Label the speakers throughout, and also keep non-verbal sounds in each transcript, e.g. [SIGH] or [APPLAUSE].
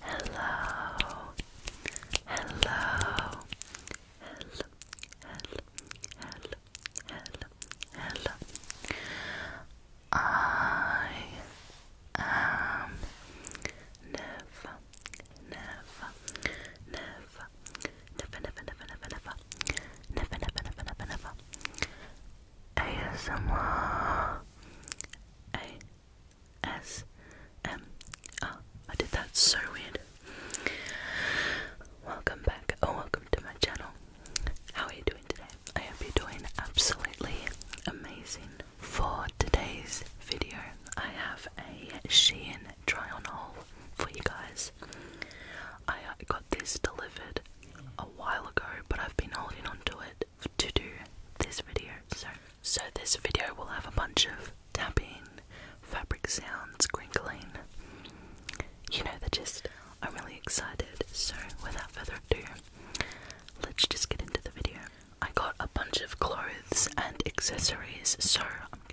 Speaker 1: Hello, hello, hello, hello, hello, I am never, never, never, never, never, never, never, never, never, never. ASMR. ASMR. did that so weird. Welcome back, or welcome to my channel. How are you doing today? I hope you're doing absolutely amazing. For today's video, I have a Shein try on haul for you guys. I got this delivered a while ago, but I've been holding on to it to do this video. So, so this video will have a bunch of tapping, fabric sounds, crinkling. You know the gist. I'm really excited. So, without further ado, let's just get into the video. I got a bunch of clothes and accessories, so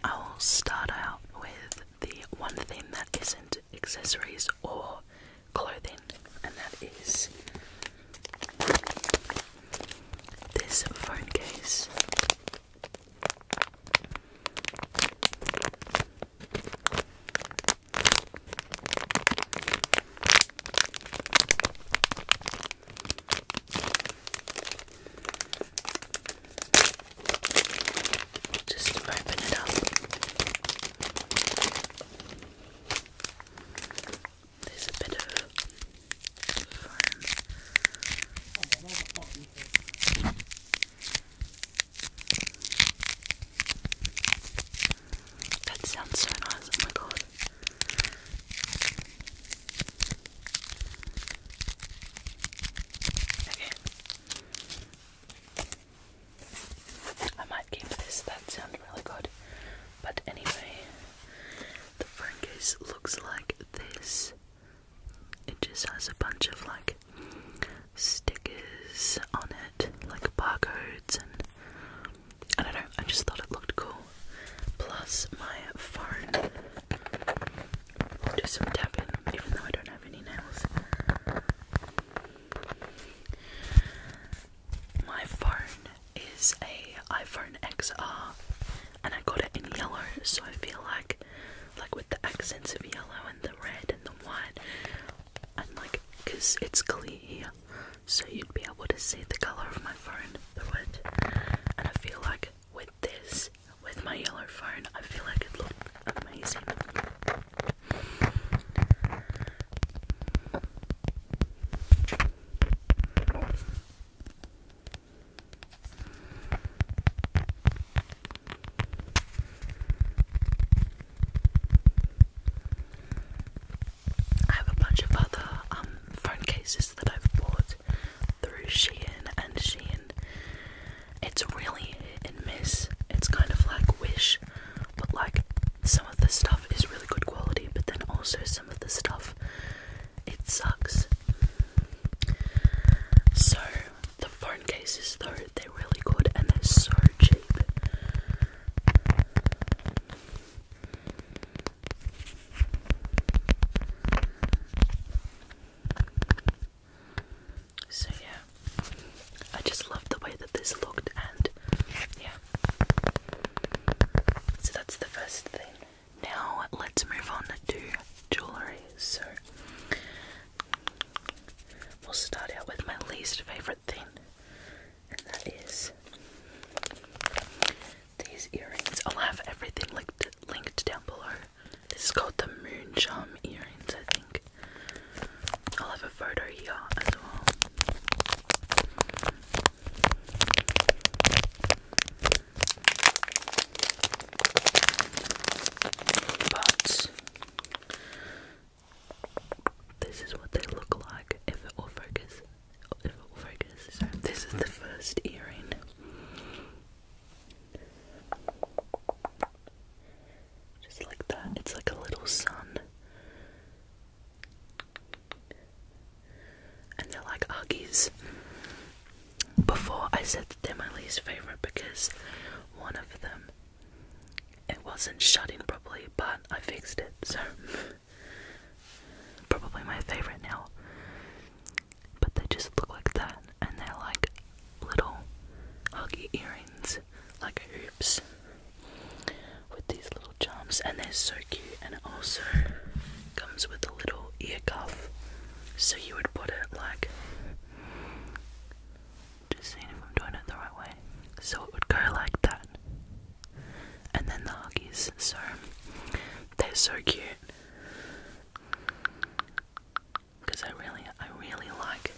Speaker 1: I'll start out with the one thing that isn't accessories or clothing, and that is this phone case. Just open it up. There's a bit That sounds so nice, oh my god. Okay. I might keep this, that sounds really good. But anyway, the phone case looks like this. It just has a bunch of like stickers on it, like barcodes, and I don't know, I just thought it looked cool. Plus, my phone. do some tapping, even though I don't have any nails. My phone is a iPhone XR and I got it in yellow so I feel like like with the accents of yellow and the red and the white and like cause it's clear so you'd be able to see the colour of my phone through it and I feel like with this with my yellow phone I feel like it looks amazing I have a bunch of other um, phone cases that I've bought through Shein and Shein. It's really hit and miss. It's kind of like Wish, but like some of the stuff is really good quality, but then also some of the stuff it sucks. So the phone cases though, they're really good and they're so cheap. So yeah. I just love the way that this looked, and yeah. So that's the first thing. Now let's move on to jewellery. So we'll start out with my least favourite thing, and that is these earrings. I'll have everything linked, linked down below. This is called the Moon Charm earrings, I think. I'll have a photo here as well. But this is what they look like if it will focus. If it will focus. So this is the first earring. Just like that. It's like a little sun. And they're like argies. Before I said that they're my least favourite because one of them it wasn't shutting properly, but I fixed it, so probably my favourite now. But they just look like that and they're like little huggy earrings, like hoops with these little jumps, and they're so cute. And also comes with a little ear cuff, so you would put it like just seeing if I'm doing it the right way. So it would go like that, and then the huggies. So they're so cute because I really, I really like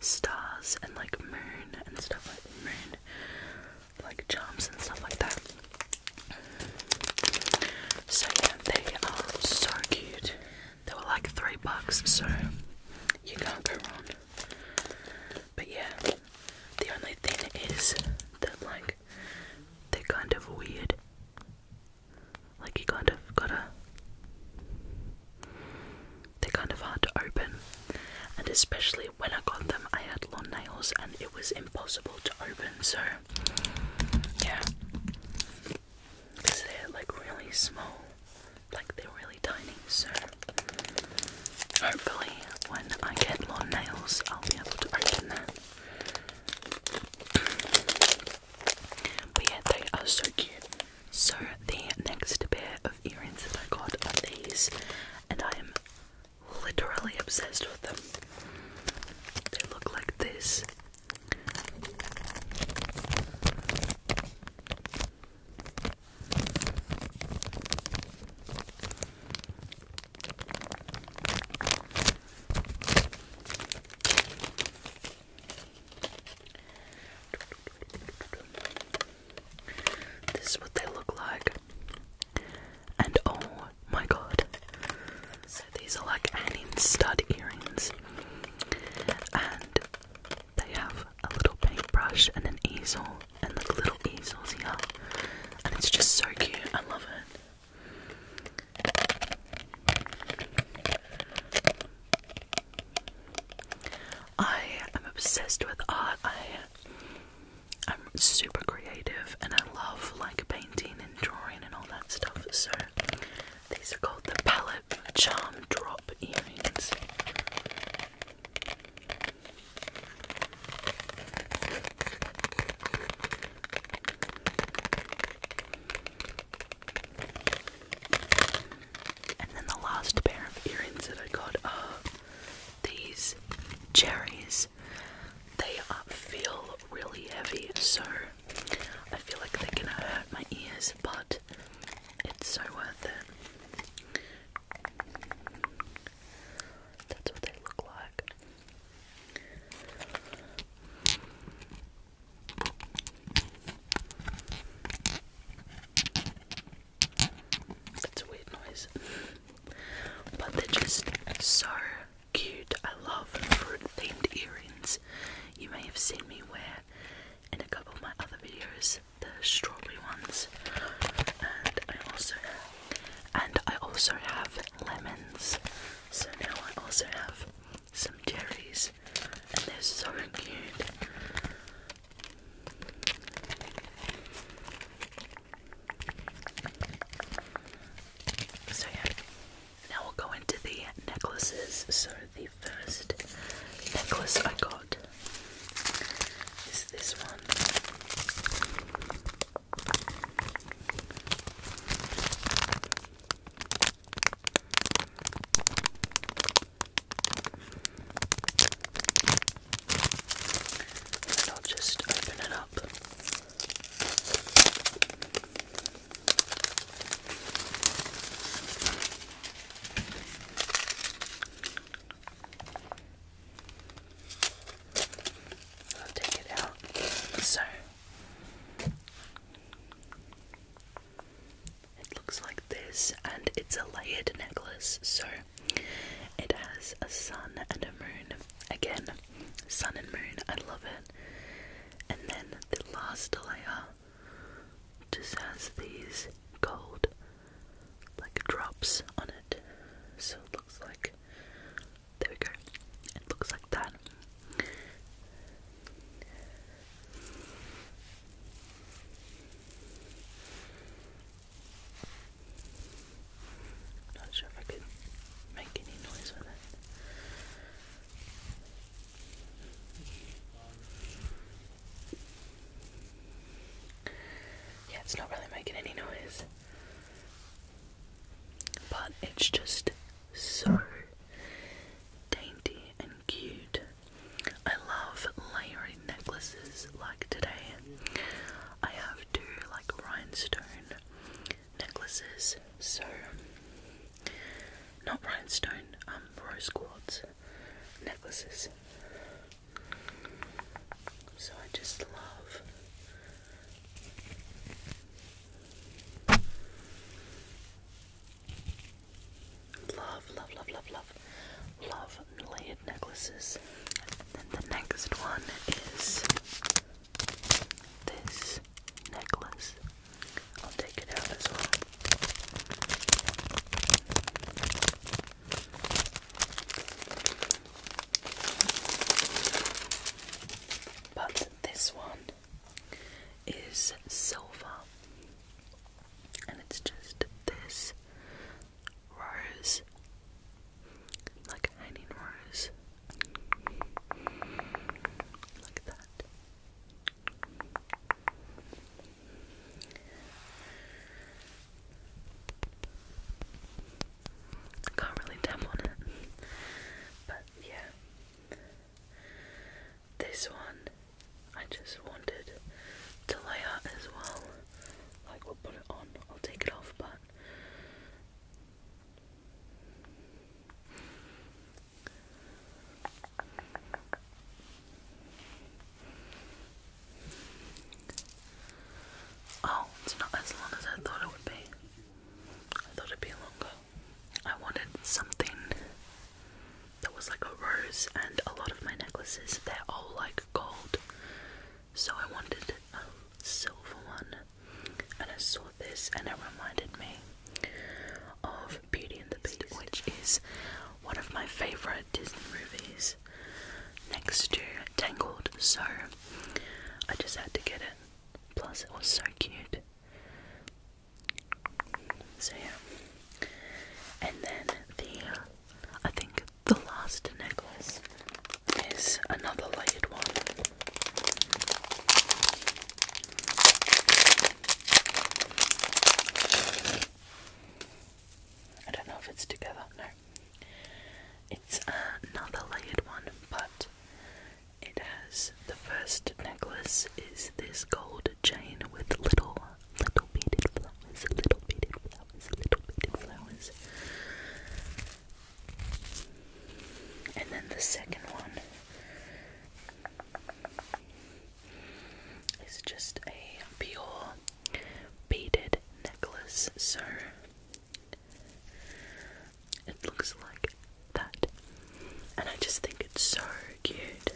Speaker 1: stars and like moon and stuff like moon like charms and stuff like that. So yeah, they are so cute. They were like three bucks, so you can't go wrong. But yeah, the only thing is that like they're kind of weird. Like you kind of gotta they're kind of hard to open, and especially when I got them, I had long nails and it was impossible to open. So, yeah, because they're like really small, like they're really tiny. So, hopefully, when I get long nails, I'll be able to open them. But yeah, they are so cute. So, the next pair earrings that I got are these, and I am literally obsessed with them. They look like this. This is what they look like. And oh my god. So these are like hanging stud earrings. And they have a little paintbrush and an easel and like little easels here. And it's just so cute. I love it. I am obsessed with art. I'm super creative and I love like painting and drawing and all that stuff. So these are called the Palette Charm Drop earrings. And then the last pair of earrings that I got these cherries they feel really heavy so I feel like they're gonna hurt my ears but it's so worth it that's what they look like that's a weird noise. But they're just so cute. I love fruit themed earrings. You may have seen me wear in a couple of my other videos the strawberry ones. And I also and I also have lemons. So now I also have some cherries and they're so cute. So yeah, now we'll go into the necklaces. So the first necklace I got is this one. And I'll just open it up. I'll take it out. So it looks like this, and it's a layered necklace, so it has a sun and a moon. Again, sun and moon, I love it. And then the last layer just has these gold like drops on it. So it looks like there we go. It looks like that i not sure if I can make any noise with it. Yeah, it's not really making any noise. But it's just so dainty and cute. I love layering necklaces like today. I have two like rhinestone necklaces, so not rhinestone, um, rose quartz necklaces. So I just love. Love, love, love, love, love, love layered necklaces. And the next one is this necklace. I'll take it out as well. But this one is silver, and it's just this rose like a hanging rose, like that. I can't really tap on it, but yeah. This one I just wanted to lay as well like we'll put it on, I'll take it off, but Oh, it's not as long as I thought it would be. I thought it'd be longer. I wanted something that was like a rose, and a lot of my necklaces, they're all like gold. So I wanted a um, silver one, and I saw this, and it reminded me of Beauty and the Beast, which is one of my favorite Disney movies, next to Tangled. So I just had to get it. Plus, it was so cute. So yeah, and then the I think the last necklace is another layered one. I don't know if it's together, no. It's another layered one, but it has the first necklace is this gold chain with little little beaded flowers, little beaded flowers flowers, little beaded flowers. And then the second one is just a pure beaded necklace, so it looks like that. And I just think it's so cute.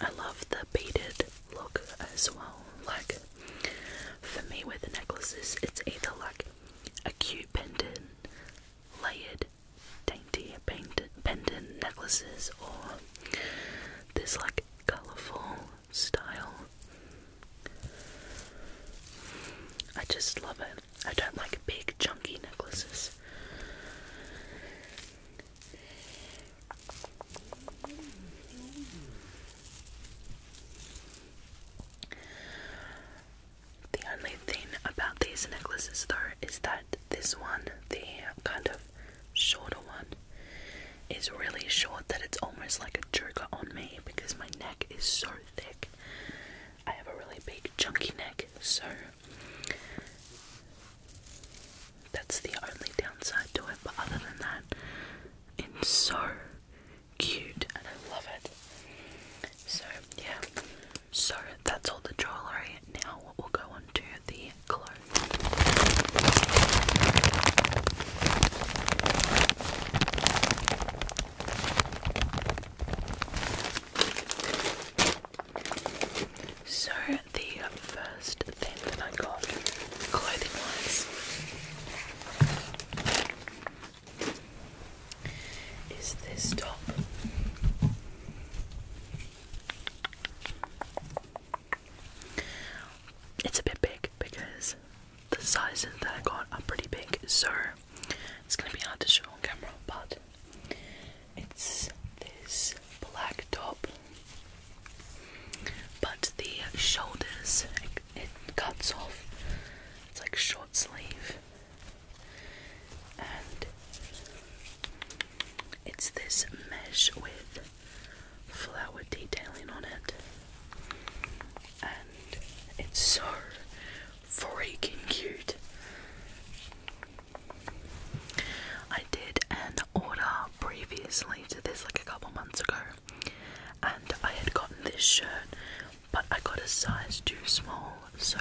Speaker 1: I love the beaded look as well. Like, for me, with necklaces, it's either like a cute pendant, layered, dainty pendant, pendant necklaces, or this like colourful style. I just love it. I don't like big, chunky necklaces. The only thing about these necklaces, though, is that this one, the kind of shorter one, is really short that it's almost like a joker on me because my neck is so thick. I have a really big, chunky neck, so that's the only downside to it. But other than that, it's so cute and I love it. So, yeah. So, that's all the jewellery. Now we'll go on to the clothes. So, the first thing that I got clothing wise is this top. It's a bit big because the sizes that I got are pretty big, so it's gonna be hard to show on camera, but it's this black top but the shoulders, it, cuts off. It's like short sleeve. And it's this mesh with flower detailing on it. And it's so freaking cute. I did an order previously to this, like a couple months ago, and I had gotten this shirt, but I got a size too small, so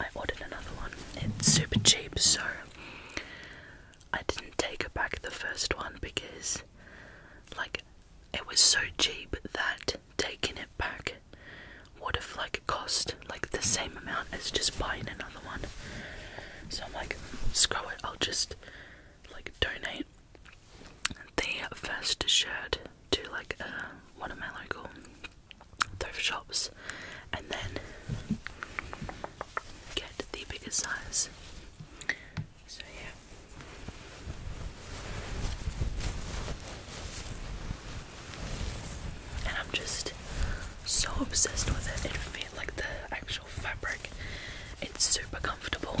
Speaker 1: I ordered another one. It's super cheap, so I didn't take it back the first one because, like, it was so cheap that taking it back would have like cost like the same amount as just buying another one. So I'm like, screw it, I'll just like donate they first shared to like uh, one of my local thrift shops and then get the bigger size. So, yeah. And I'm just so obsessed with it. It feels like the actual fabric. It's super comfortable.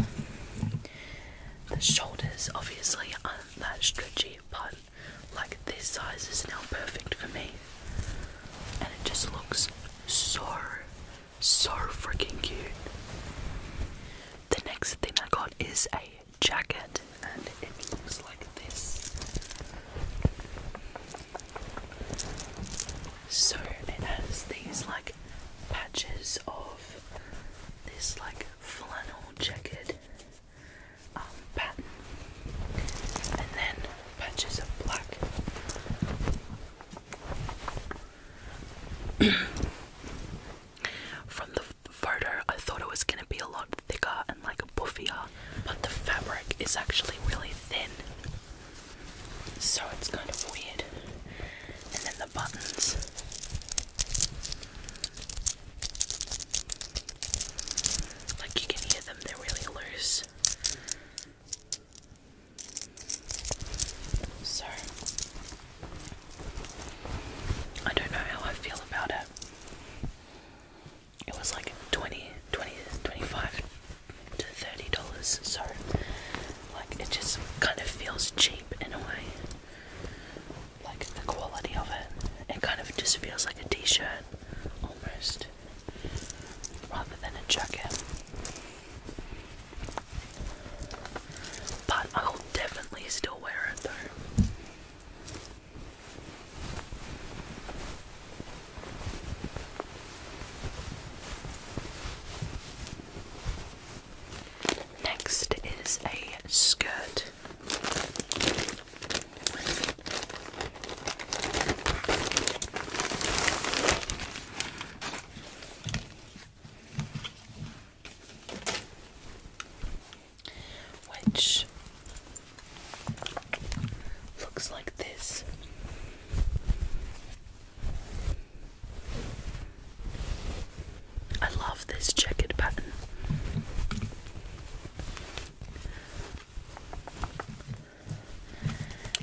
Speaker 1: The shoulders obviously aren't that stretchy, but like this size is now perfect for me. And it just looks so, so freaking cute. The next thing I got is a jacket, and it looks like this. So it has these like patches of this like flannel checkered um, pattern, and then patches of black. [CLEARS THROAT] From the photo, I thought it was going to be a lot thicker and like buffier, but the fabric is actually really thin. So it's kind of weird. And then the buttons. Like you can hear them, they're really loose. So, I don't know how I feel about it. It was like 20, to $30, so like it just kind of feels cheap in a way. Like the quality of it. It kind of just feels like a t-shirt almost rather than a jacket. But I'll definitely still wear it though. Next is a skirt. Which looks like this. I love this checkered pattern.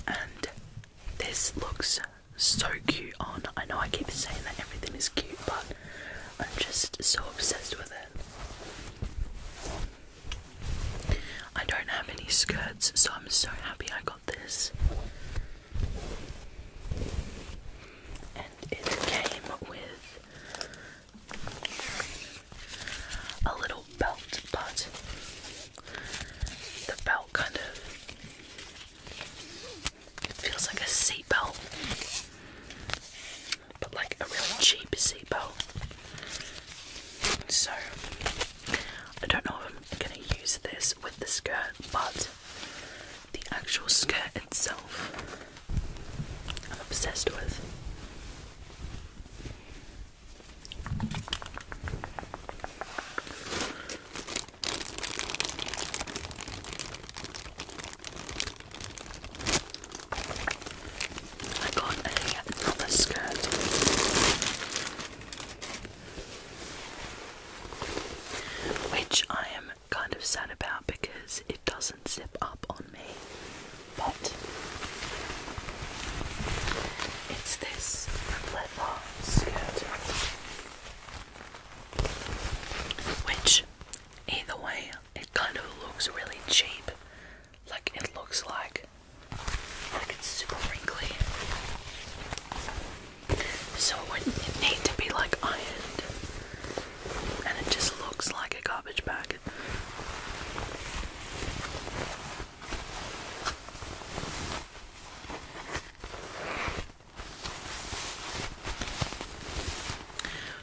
Speaker 1: And this looks so cute on. I know I keep saying that everything is cute, but I'm just so obsessed with it. I don't have any skirts, so I'm so happy I got this, and it came with a little belt, but the belt kind of feels like a seat belt, but like a really cheap seat belt. So I don't know if I'm gonna use this with the skirt, but the actual skirt itself I'm obsessed with. I got another skirt which I am kind of sad about because it doesn't zip up on me. But it's this leather skirt. Which either way it kind of looks really cheap. Like it looks like like it's super wrinkly. So it would need to be like ironed. And it just looks like a garbage bag.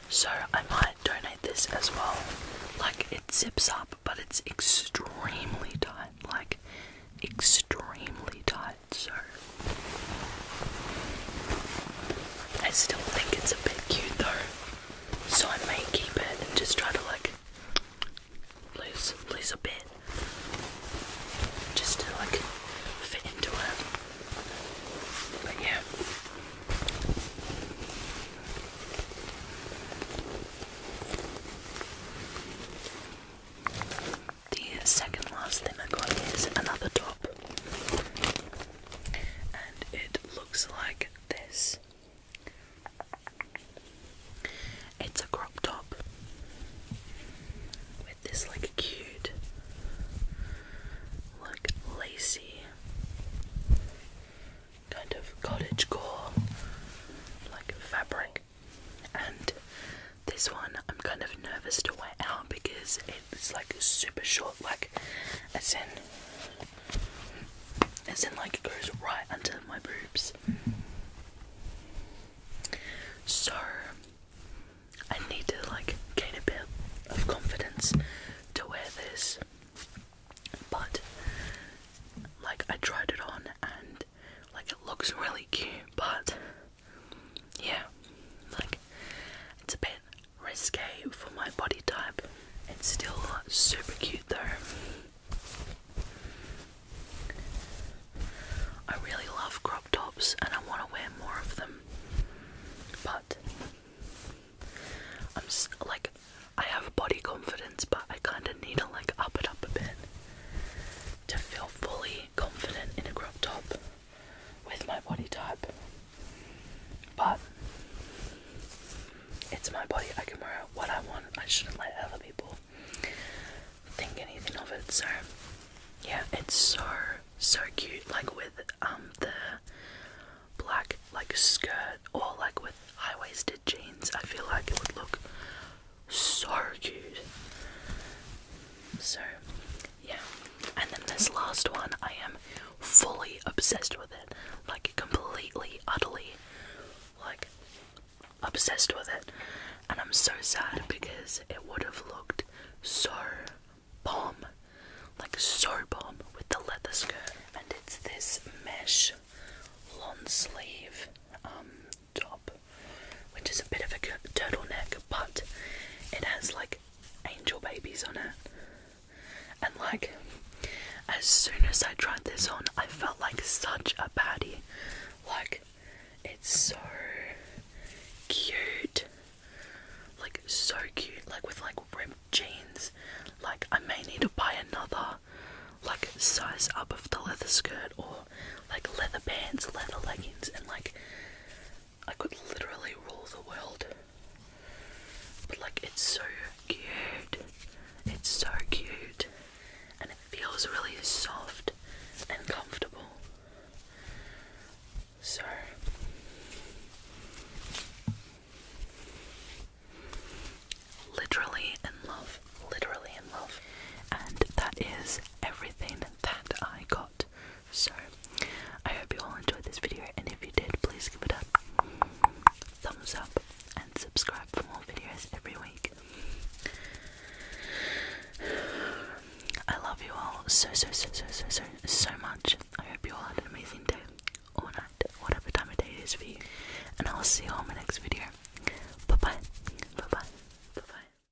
Speaker 1: So I might donate this as well. Like it zips up, but it's extremely tight. Like extremely tight much, I still think it's a bit cute though, so I may keep it and just try to like lose lose a bit, just to like fit into it. But yeah. The second last thing I got is another top, and it looks like this. It's a crop top with this like cute, like lacy kind of cottage core like fabric and this one I'm kind of nervous to wear out because it's like super short, like as in as in like it goes right under my boobs. So I need to like gain a bit of confidence to wear this. But like I tried it on and like it looks really cute but yeah, like it's a bit risque for my body type. It's still super cute though. I really love crop tops and I want to wear more of them, but I'm just, like, I have body confidence, but I kind of need to like up it up a bit to feel fully confident in a crop top with my body type, but it's my body. I can wear what I want. I shouldn't let other people think anything of it. So yeah, it's so so cute. Like with um the black like skirt or like with high waisted jeans. I feel like it would look so cute. So, yeah. And then this last one, I am fully obsessed with it. Like, completely, utterly, like, obsessed with it. And I'm so sad because it would have looked so bomb. Like, so bomb with the leather skirt. And it's this mesh long sleeve um, top, which is a bit of a turtleneck, but it has like angel babies on it. And like, as soon as I tried this on, I felt like such a baddie. Like, it's so cute. Like, so cute. Like, with like ripped jeans. Like, I may need to buy another, like, size up of the leather skirt or like leather pants, leather leggings, and like I could literally rule the world. But like it's so cute. It's so cute. And it feels really soft and comfortable. So literally in love. Literally in love. And that is everything that I got. So, I hope you all enjoyed this video, and if you did, please give it a thumbs up and subscribe for more videos every week. I love you all so, so, so, so, so, so, so much. I hope you all had an amazing day or night, whatever time of day it is for you. And I'll see you all in my next video. Bye bye. Bye bye. Bye bye.